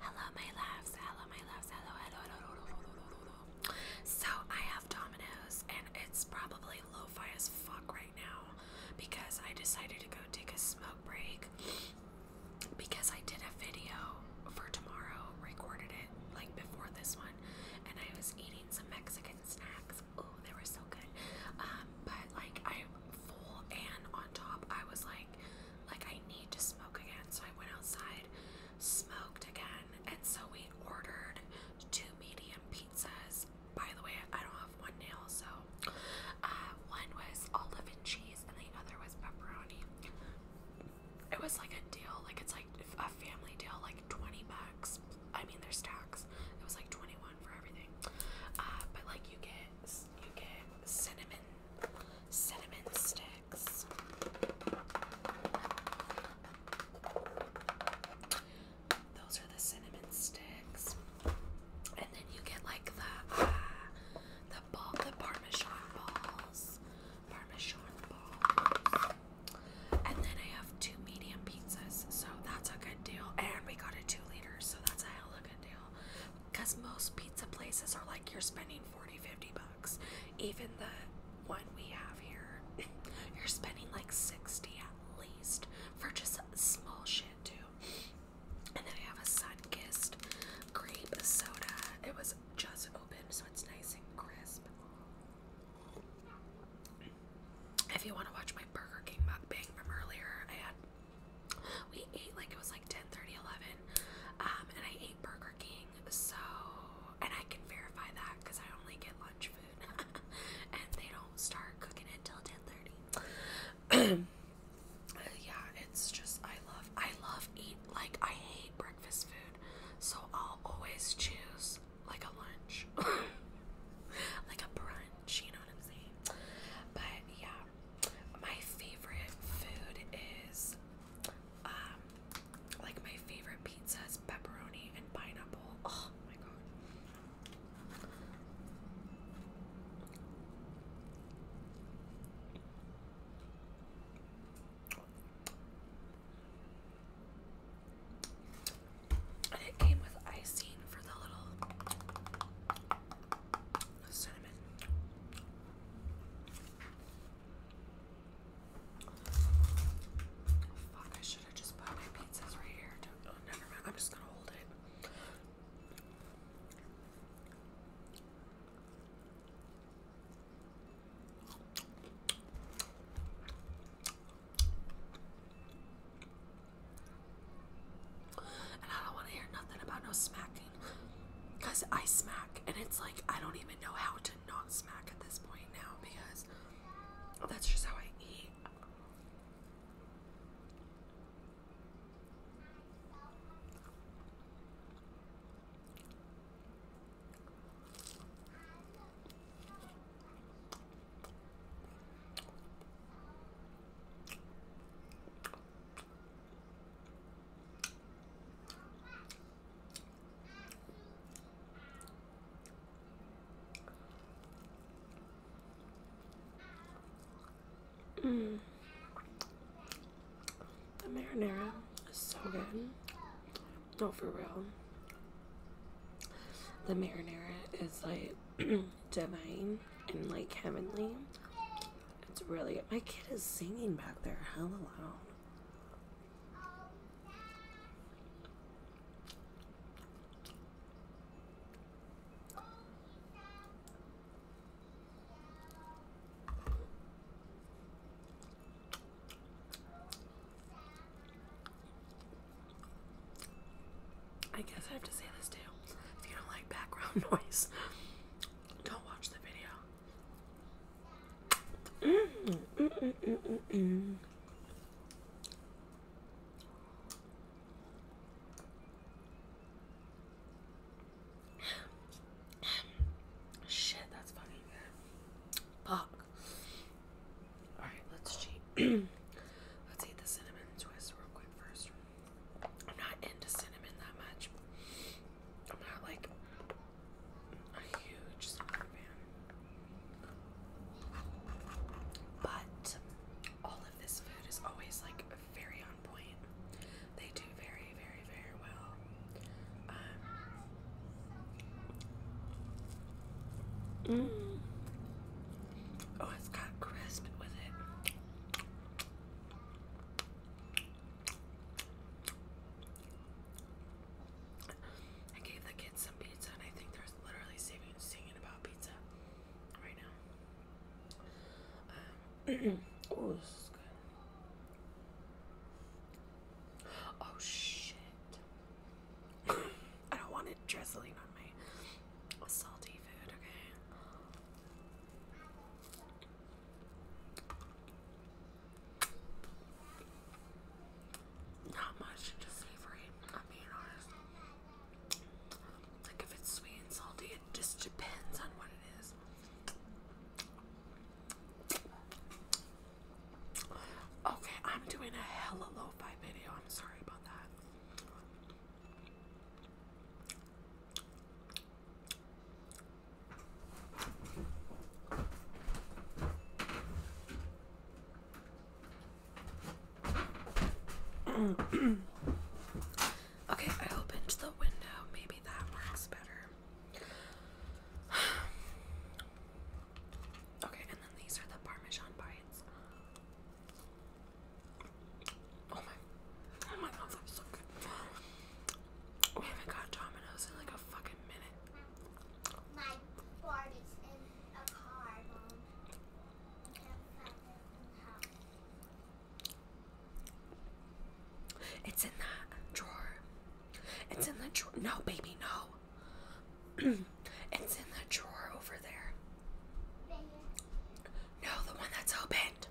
Hello, my loves. Hello, my loves. Hello, hello, hello, hello, hello, hello. So I have Domino's, and it's probably lo-fi as fuck right now because I decided to go take a smoke break because I did a video for tomorrow, recorded it like before this one, and I was eating some Mexican snacks. Oh, they were so good. Um, but like I'm full, and on top, I was like like I need to smoke again. So I went outside, smoked again, and so we ordered two medium pizzas. By the way, I don't have one nail, so uh, one was olive and cheese, and the other was pepperoni. It was like a deal, like it's like a family deal, like 20 bucks. I mean, there's tax. It was like 21 for everything. Uh, but like you get you get cinnamon cinnamon sticks. Those are the cinnamon sticks, and then you get like the uh, the ball, the parmesan balls, parmesan balls. And then I have two medium pizzas, so that's a good deal. And we got a two liter, so that's a hell of a good deal. Because most pizza places are like you're spending 40, 50 bucks. Even the one we have here, you're spending like 60 at least for just small shit, too. And then I have a sun kissed grape soda. It was just open, so it's nice and crisp. If you want to watch my Burger King mukbang from earlier, I had we ate like it was like 10 30 11 um and i ate burger king so and i can verify that because i only get lunch food and they don't start cooking it till 10 30 uh, yeah it's just i love i love eat like i hate breakfast food so i'll always choose like a lunch like a brunch you know what i'm saying but yeah my favorite food is um like my favorite pizza is pepperoni and pineapple. Oh my god. And it came with icing for the little cinnamon. Fuck, I should have just put my pizzas right here. oh, never mind, I'm just gonna hold it. And I don't want to hear nothing about no smacking because I smack and it's like I don't even know how to not smack at this point now because that's just how I eat. Mm. The marinara is so good. No, for real. The marinara is like divine and like heavenly. It's really my kid is singing back there all alone. I guess I have to say this too. If you don't like background noise, don't watch the video. Shit, that's fucking good. Alright, let's cheat. let's eat the cinnamon twist real quick first. I'm not into cinnamon that much. I'm not like a huge cinnamon fan. But all of this food is always like very on point. They do very, very, very well. Um, mm. Oh, it's got crisp with it. I gave the kids some pizza, and I think they're literally singing, about pizza right now. oh, this is good. Oh, shit. I don't want it drizzling on my salty food, okay? Not much into savory, I'm being honest. Like if it's sweet and salty, it just depends on what it is. Okay, I'm doing a hella lo-fi video. I'm sorry about that. okay, I opened the window. Maybe that works better. okay, and then these are the Parmesan bites. Oh my, oh my god, that's so good. We haven't got Domino's in like a fucking minute. My board in a car, Mom. I can't find it in the house. It's in that drawer. It's in the drawer. No, baby, no. it's in the drawer over there. No, the one that's opened.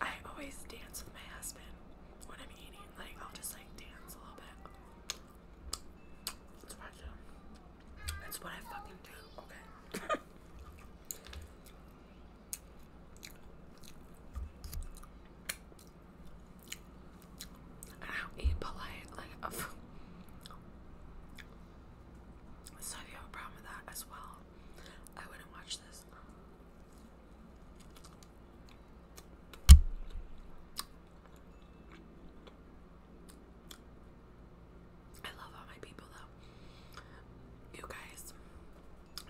I always dance with my husband when I'm eating. Like I'll just like dance a little bit. That's what I fucking do. Okay. I eat polite. Like, so if you have a problem with that as well, I wouldn't watch this. I love all my people though. You guys,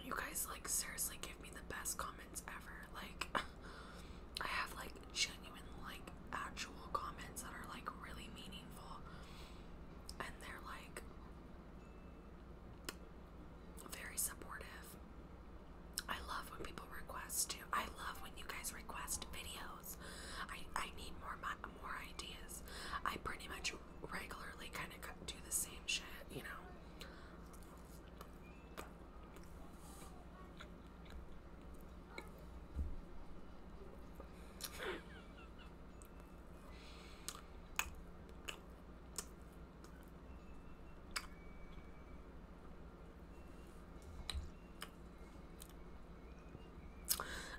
you guys like seriously give me the best comments ever. Like, I have like genuine, like actual comments that are like really meaningful, and they're like, very supportive. I love when people request too. I love when you guys request videos. I, I need more more ideas. I pretty much regularly kind of do the same shit, you know.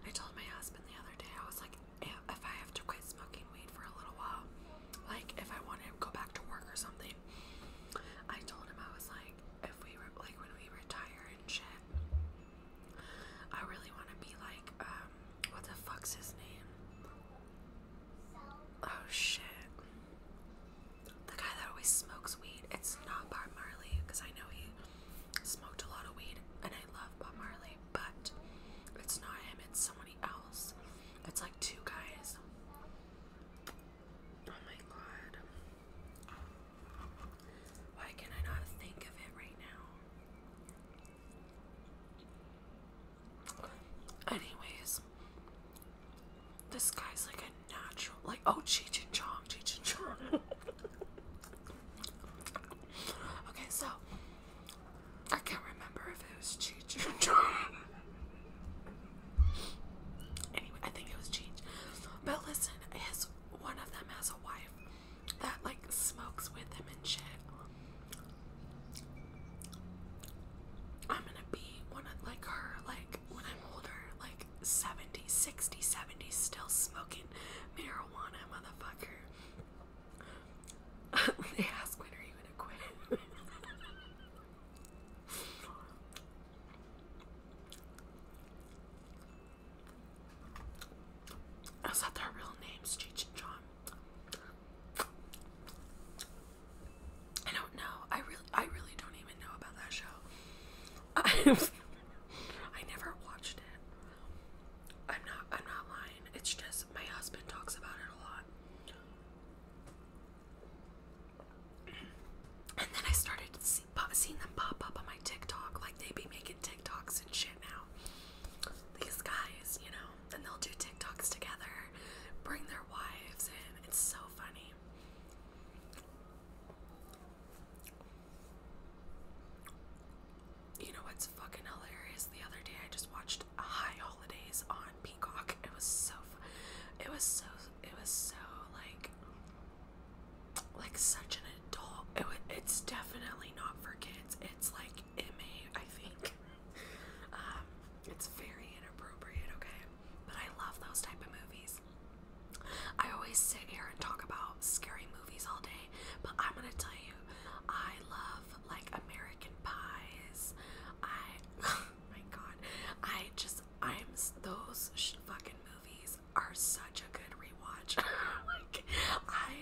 I told my husband the other day, I was like, if I have to quit smoking weed for a little while, like if I want to go back to work or something, I told him I was like, if we were like when we retire and shit, I really want to be like, um, what the fuck's his name? Oh shit. The guy that always smokes weed, it's not Bob Marley, because I know he smoked a lot of weed and I love Bob Marley, but it's not him, it's somebody else. It's like two guys. Oh my god. Why can I not think of it right now? Anyways, this guy's like a natural, like oh Cheech and Chong, Cheech and Chong. okay, so I can't remember if it was Cheech or Chong. Anyway, I think it was Cheech. But listen, his one of them has a wife that like smokes with him and shit. I'm gonna be one of like her, like when I'm older, like 70, 60, 70, still smoking marijuana, motherfucker. they ask when are you gonna quit? I was their real names, Cheech and I don't know. I really, I really don't even know about that show. i I never watched it. I'm not, I'm not lying. It's just my husband talks about it a lot. And then I started seeing them pop up on my TikTok. Like they be making TikToks and shit now. These guys, you know. And they'll do TikToks together, bring their wives in. It's so funny. You know what's fucking hilarious? The other day I just watched High Holidays on Peacock. It was so it was so it was so like like such an adult. It was, it's definitely not for kids. It's like like MA, I think. Um, it's very inappropriate, okay? But I love those type of movies. I always sit here and talk about scary movies all day, but I'm gonna tell you, I love like American pies. I, oh my god, I just, I'm, those fucking movies are such a good rewatch. like, I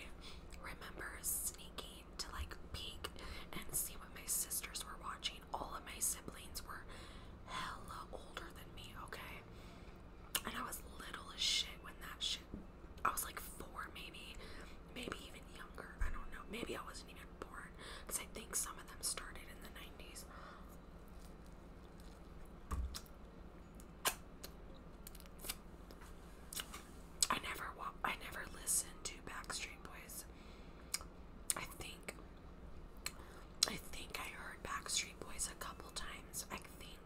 remember sneaking to like peek and see what my sisters were watching. All of my siblings were hella older than me, okay? And I was little as shit when that shit. I was like four, maybe, maybe even younger. I don't know. Maybe I wasn't even born because I think some of them started in the 90s. I never wa I never listened to Backstreet Boys. I think I think I heard Backstreet Boys a couple times. I think,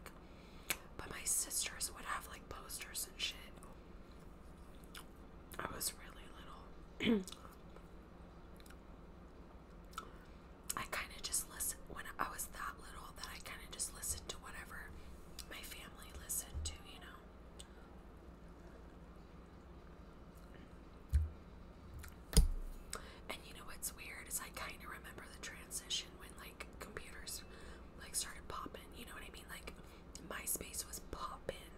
but my sisters would have like posters and shit. I was really little. I kind of just listened when I was that little that I kind of just listened to whatever my family listened to, you know. And you know what's weird is I kind of remember the transition when like computers like started popping. You know what I mean? Like MySpace was popping.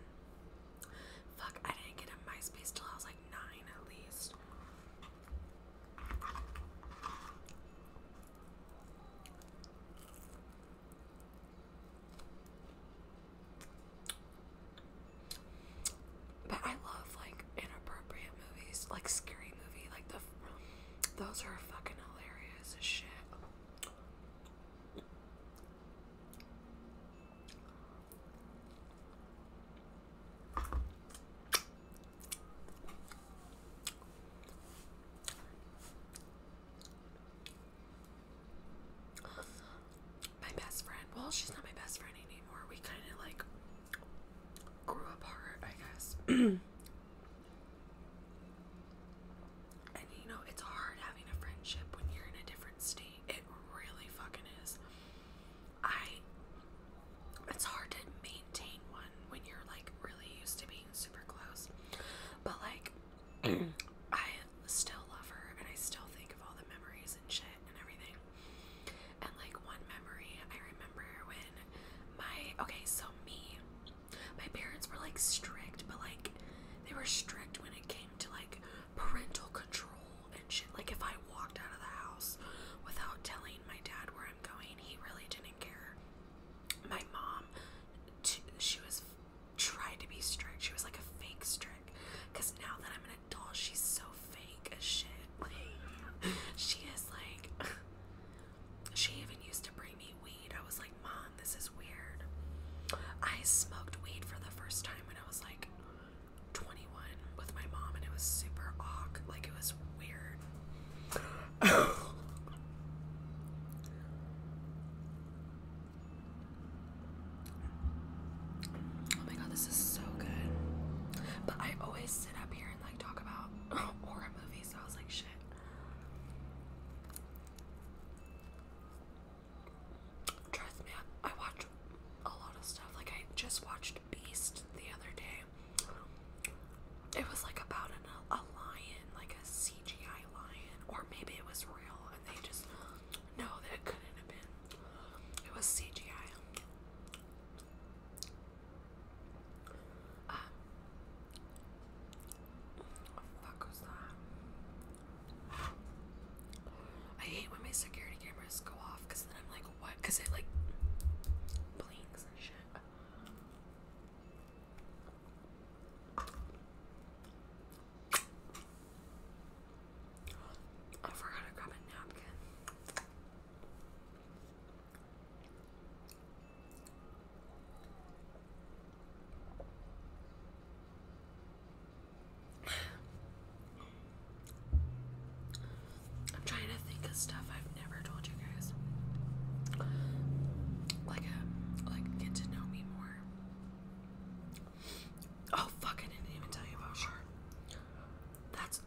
Fuck, I didn't get in MySpace till I was like nine at least. But I love like inappropriate movies, like scary movie, like the those are fucking hilarious as shit. My best friend, well, she's not my best friend anymore. We kind of like grew apart, I guess. and you know, it's hard having a friendship when you're in a different state. It really fucking is. I, it's hard to maintain one when you're like really used to being super close. But like, I still love her and I still think of all the memories and shit and everything. And like one memory I remember when my okay, so me my parents were like strict, but like they were strict when it came to like parental control and shit. Like if I walked out of the house without telling my dad where I'm going, he really didn't care my mom, she was tried to be strict. She was like a fake strict. Cause now that I'm an adult, she's so fake as shit. she is like. She even used to bring me weed. I was like, Mom, this is weird. I smoked weed for the first time when I was like 21 with my mom, and it was super awk. Like, it was weird oh my god, this is so good. But I always sit up here and like talk about horror movies, so I was like, shit. Trust me, I, I watch a lot of stuff. Like, I just watched Beast the other day. It was like about a lion, like a sea CGI lion, or maybe it was real and they just no, that couldn't have been. It was CGI. Uh, what the fuck was that? I hate when my security cameras go off because then I'm like, what? Because it like blinks and shit. I forgot to grab a napkin. I'm trying to think of stuff I've never told you you guys like a um, like get to know me more. Oh fuck! I didn't even tell you about sure. That's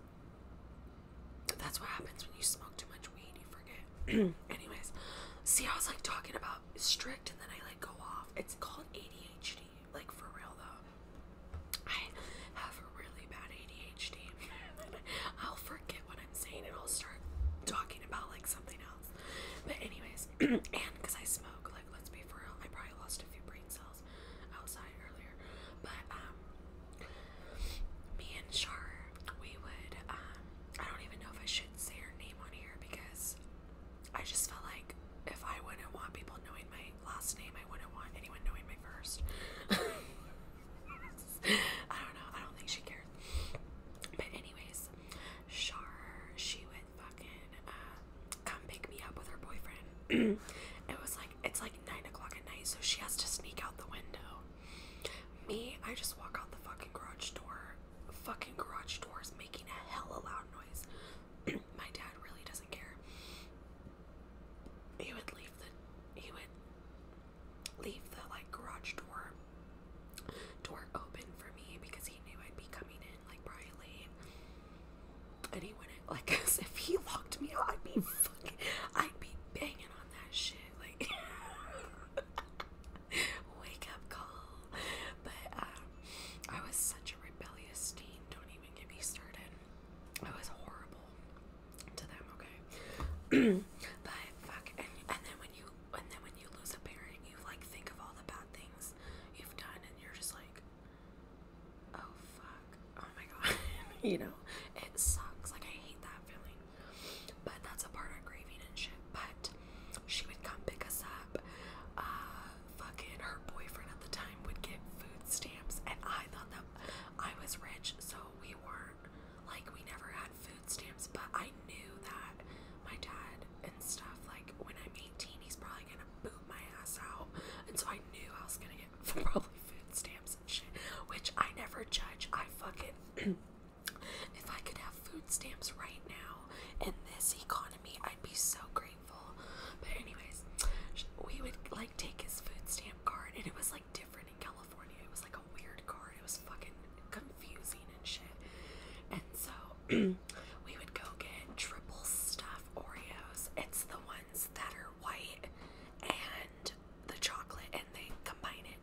that's what happens when you smoke too much weed. You forget. Anyways, see, I was like talking about strict, and then I like go off. It's called ADHD. Like for real though, I have a really bad ADHD. I'll forgive what I'm saying and I'll start talking about like something else. But anyways, and because I smoke, like let's be for real, I probably lost a few brain cells outside earlier. But um me and Char, we would um I don't even know if I should say her name on here because I just felt like if I wouldn't want people knowing my last name, I wouldn't want anyone knowing my first. I don't know. I don't think she cares. But anyways, sure she would fucking uh, come pick me up with her boyfriend. it was like it's like nine o'clock at night, so she has to sneak out the window. Me, I just walk out the fucking garage door. Fucking garage doors making a hell hella loud noise. My dad really doesn't care. He would leave the he would leave the like garage door door open for me because he knew I'd be coming in like probably And he wouldn't like cause if he locked me I'd be fucking I'd be banging on that shit like wake up call. But um I was such a rebellious teen, don't even get me started. I was horrible to them, okay? but fuck and, and then when you and then when you lose a parent, you like think of all the bad things you've done, and you're just like, oh fuck, oh my god, you know, it sucks. Like I hate that feeling, but that's a part of grieving and shit. But she would come pick us up. Uh, fucking her boyfriend at the time would get food stamps, and I thought that I was rich, so we were like we never had food stamps, but I knew that my dad and stuff, like when I'm 18, he's probably gonna boot my ass out. And so I knew I was gonna get probably food stamps and shit. Which I never judge. I fucking if I could have food stamps right now in this economy, I'd be so grateful. But anyways, we would like take his food stamp card and it was like different in California. It was like a weird card. It was fucking confusing and shit. And so we would go get triple stuffed Oreos. It's the ones that are white and the chocolate and they combine it.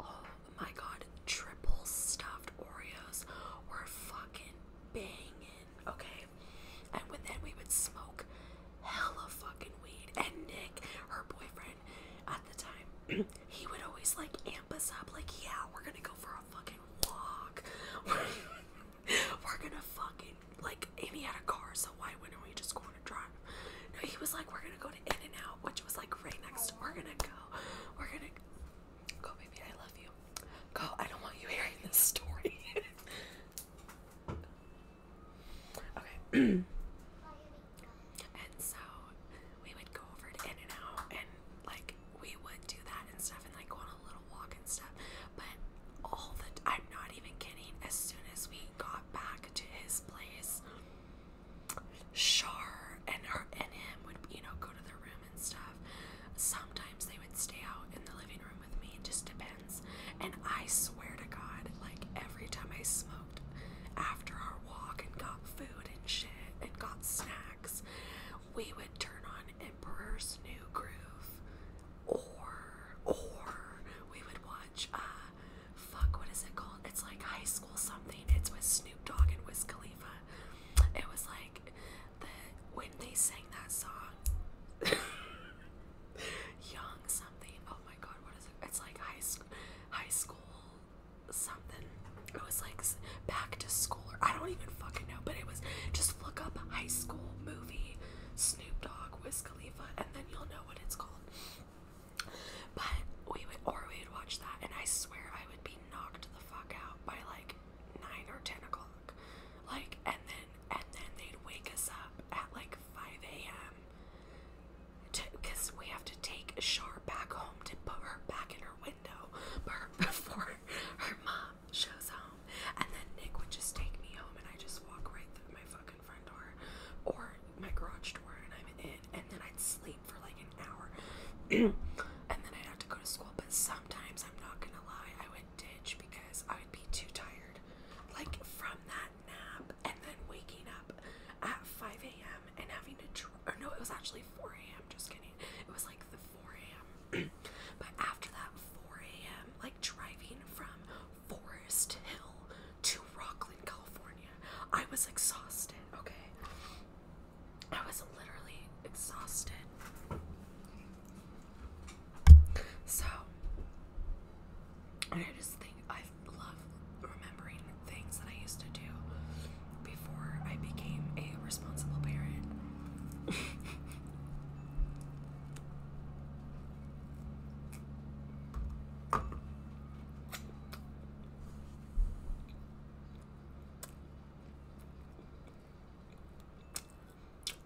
Oh my god, triple stuffed Oreos were fucking banging, okay? And then we would smoke hella fucking weed. And Nick, her boyfriend, at the time, he would always like amp us up, like, yeah, we're gonna go for a fucking walk. we're gonna fucking like Amy had a car, so why wouldn't we just go on a drive? No, he was like, We're gonna go to In and Out, which was like right next we're gonna go. We're gonna go baby, I love you. Go, I don't want you hearing this story. Okay. and so we would go over to In and Out and like we would do that and stuff and like go on a little walk and stuff. But all the I'm not even kidding, as soon as we got back to his place, Shar and her and him would, you know, go to their room and stuff. Sometimes they would stay out in the living room with me, it just depends. And I swear to God, like every time I smoke after our walk and got food and shit and got snacks, we would turn on Emperor's New Groove, or or we would watch uh fuck what is it called? It's like High School something. It's with Snoop Dogg and Wiz Khalifa. It was like the when they sang that song. Young something. Oh my god, what is it? It's like high school high school something. It was like back to school, or I don't even fucking know, but it was just look up high school movie Snoop Dogg, with Khalifa, and then you'll know what it's called. But we would, or we would watch that, and I swear I would be knocked the fuck out by like nine or ten o'clock, like, and then and then they'd wake us up at like five a.m because we have to take Shar back home to put her back in her window before her mom shows home. And then Nick would just take me home and I just walk right through my fucking front door or my garage door and I'm in. And then I'd sleep for like an hour. and then I'd have to go to school. But sometimes, I'm not gonna lie, I would ditch because I would be too tired. Like from that nap and then waking up at 5 a.m. and having to, dr or no, it was actually 4 a.m. Just kidding. It was like the 4 a.m. but after that 4 a.m., like driving from Forest Hill to Rockland, California, I was exhausted. Okay, I was literally exhausted. So, I just think I love remembering things that I used to do before I became a responsible parent.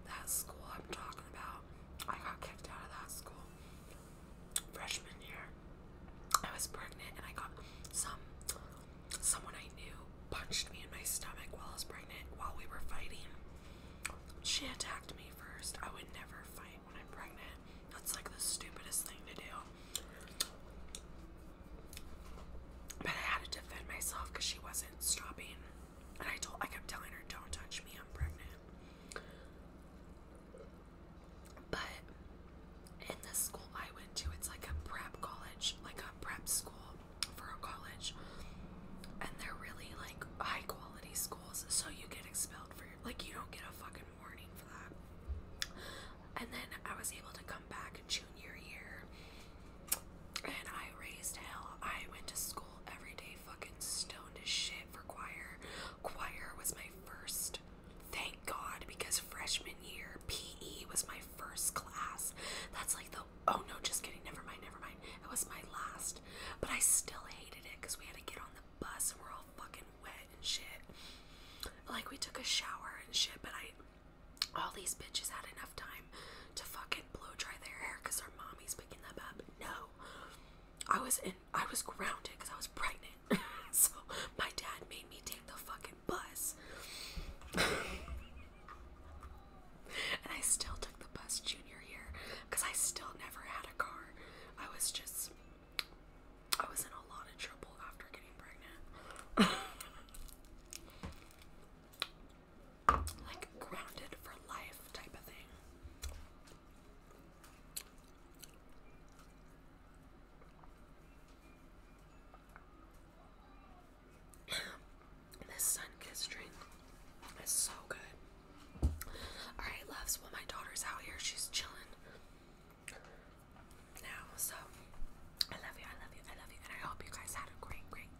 That school I'm talking about, I got kicked out of that school freshman year, I was pregnant and I got some someone I knew punched me in my stomach while I was pregnant while we were fighting. She attacked me first. I would never fight when I'm pregnant. That's like the stupidest thing to do. But I had to defend myself because she wasn't stopping. And I told I kept telling her, Don't touch me, I'm pregnant. But in the school I went to, it's like a prep college, like a prep school for college. And they're really like high quality schools, so you get expelled for like, you don't get a fucking warning for that. And then I was able to come back junior year and I raised hell. I went to school every day fucking stoned as shit for choir. Choir was my first. Thank God, because freshman year PE was my first class. That's like the oh no, just kidding. Never mind, never mind. It was my last, but I still hated it because we had to get on the bus and we're all fucking wet and shit. Like we took a shower and shit, but I all these bitches had enough time to fucking blow dry their hair because their mommy's picking them up. No, I was in I was grounded because I was pregnant. so my dad made me take the fucking bus. and I still took the bus junior year I still never had a car. I was just, I was in a lot of trouble after getting pregnant. like grounded for life type of thing. this sun kiss drink is so good. Alright, loves. Well, my daughter's out here. She's chilling now. So, I love you. I love you. I love you. And I hope you guys had a great, great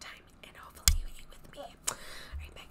time. And hopefully, you eat with me. All right,